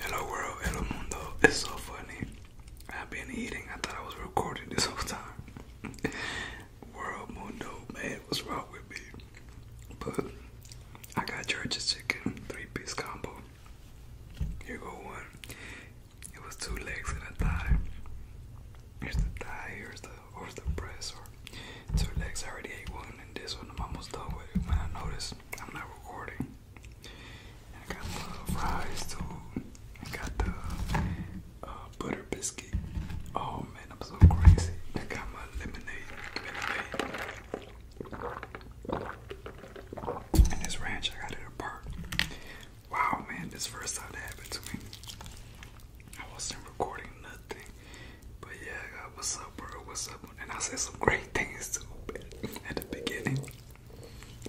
Hello world, hello mundo. It's so funny. I've been eating. I thought I was recording this whole time. world, mundo, man, what's wrong with me? But I got George's chicken, three-piece combo. Here go one. It was two legs and a thigh. Here's the thigh, here's the or the breast, or two legs. already ate one, and this one I'm almost done with. When I noticed I'm not recording. I got the fries too. I got the uh, butter biscuit. Oh man, I'm so crazy. I got my lemonade, lemonade. this ranch, I got it apart. Wow, man, this first time that happened to me. I wasn't recording nothing. But yeah, what's up, bro? What's up? And I said some great things too at the beginning.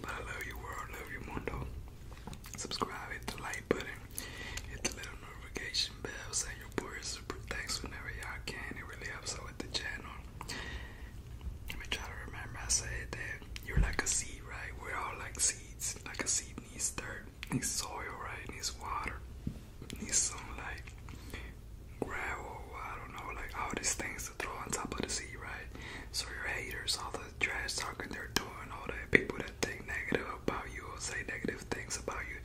But I love you, world. Love you, mundo. Subscribe, hit the like button, hit the little notification bell. Say your boy super thanks whenever y'all can. It really helps out with the channel. Let me try to remember. I said that you're like a seed, right? We're all like seeds. Like a seed needs dirt, needs soil, right? Needs water need some like gravel, I don't know, like all these things to throw on top of the sea, right? So your haters, all the trash talking they're doing, all the people that think negative about you or say negative things about you,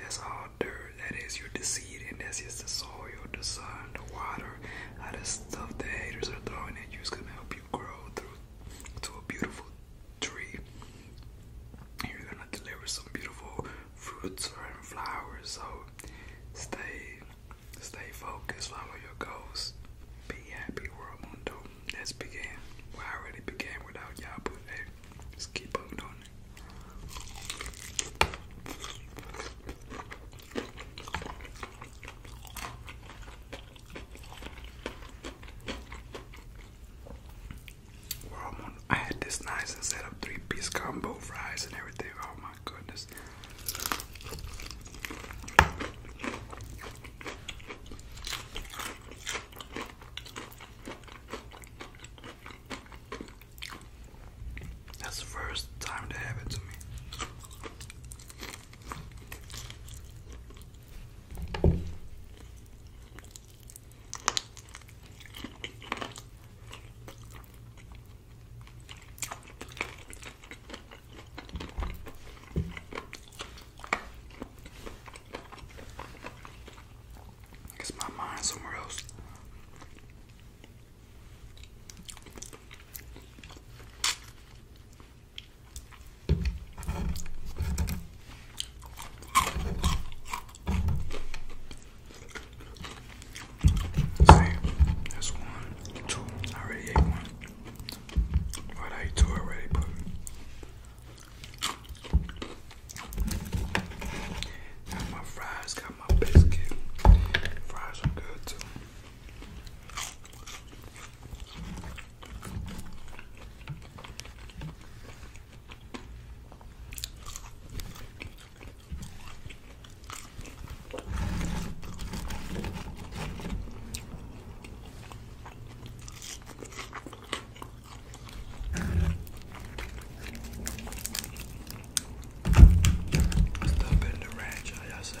that's all dirt. That is your deceit, and that's just the soil, the sun, the water, all the stuff the haters are throwing at you is gonna help you grow through to a beautiful tree. You're gonna deliver some beautiful fruits or in flowers. So stay stay focused, follow your goals. Be happy, world mundo. Let's begin. Well, I already began without y'all, but hey, just keep on doing it. I had this nice and set up three-piece combo fries and everything. Oh my goodness. That's the first time that happened to me. I guess my mind's somewhere else that's one, two. I already ate one. But I ate two already, but my fries, got my biscuit. Fries are good too. Stop in the ranch, I just say.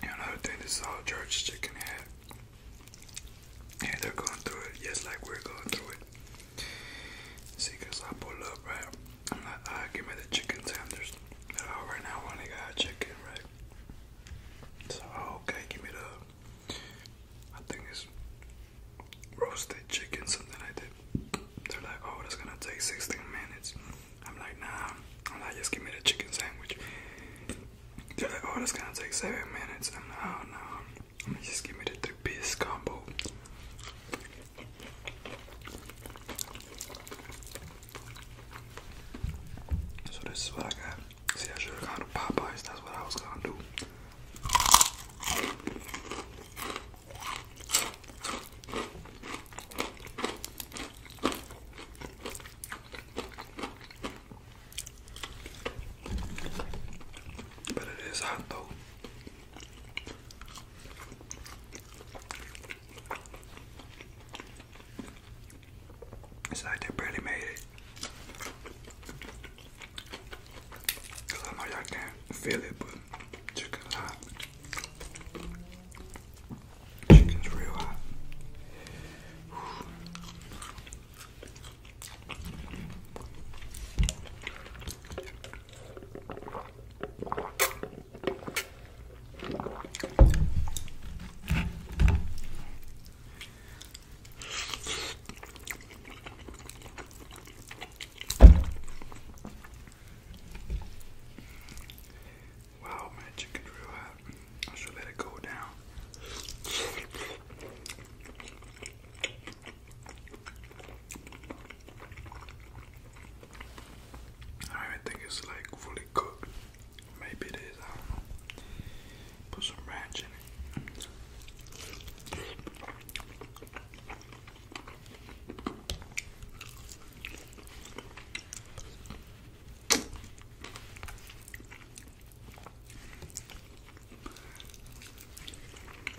And another thing, is all church chicken had. And they're going through it just like we're going through it. See, I pull up, right? I'm not, uh, give me the chicken sanders. Oh, right now I only got chicken, right? So, okay, give me the, I think it's roasted chicken, something like that. They're like, oh, that's gonna take 16 minutes. I'm like, nah, I'm like, just give me the chicken sandwich. They're like, oh, that's gonna take 7 minutes. I'm like, oh, no, just give me the three piece combo. So this is what I got. See, I should have gone Popeyes. That's what I was gonna do. But it is hot though. It's like they barely made it. Cause I know y'all can't feel it, but chicken's hot. Chicken's real hot. Wow, my chicken real hot. I should let it go down. I don't think it's like fully cooked. Maybe it is, Put some ranch in it.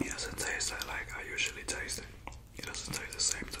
It doesn't taste like I usually taste it. It doesn't taste the same today.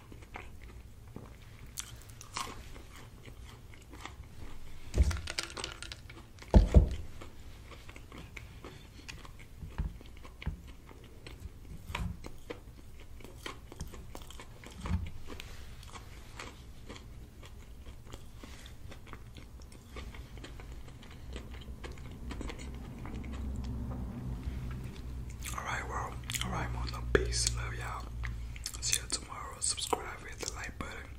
Alright, well, alright, Mono. Peace. Love y'all. See you tomorrow. Subscribe, hit the like button,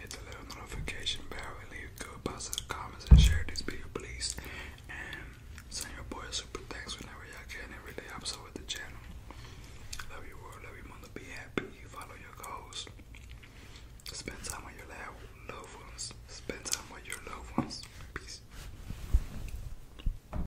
hit the little notification bell, and leave good positive comments and share this video, please. And send your boy super thanks whenever y'all can. Every day I'm so with the channel. Love you, world, love your mother, be happy, follow your goals. Spend time with your loved ones. Spend time with your loved ones. Peace.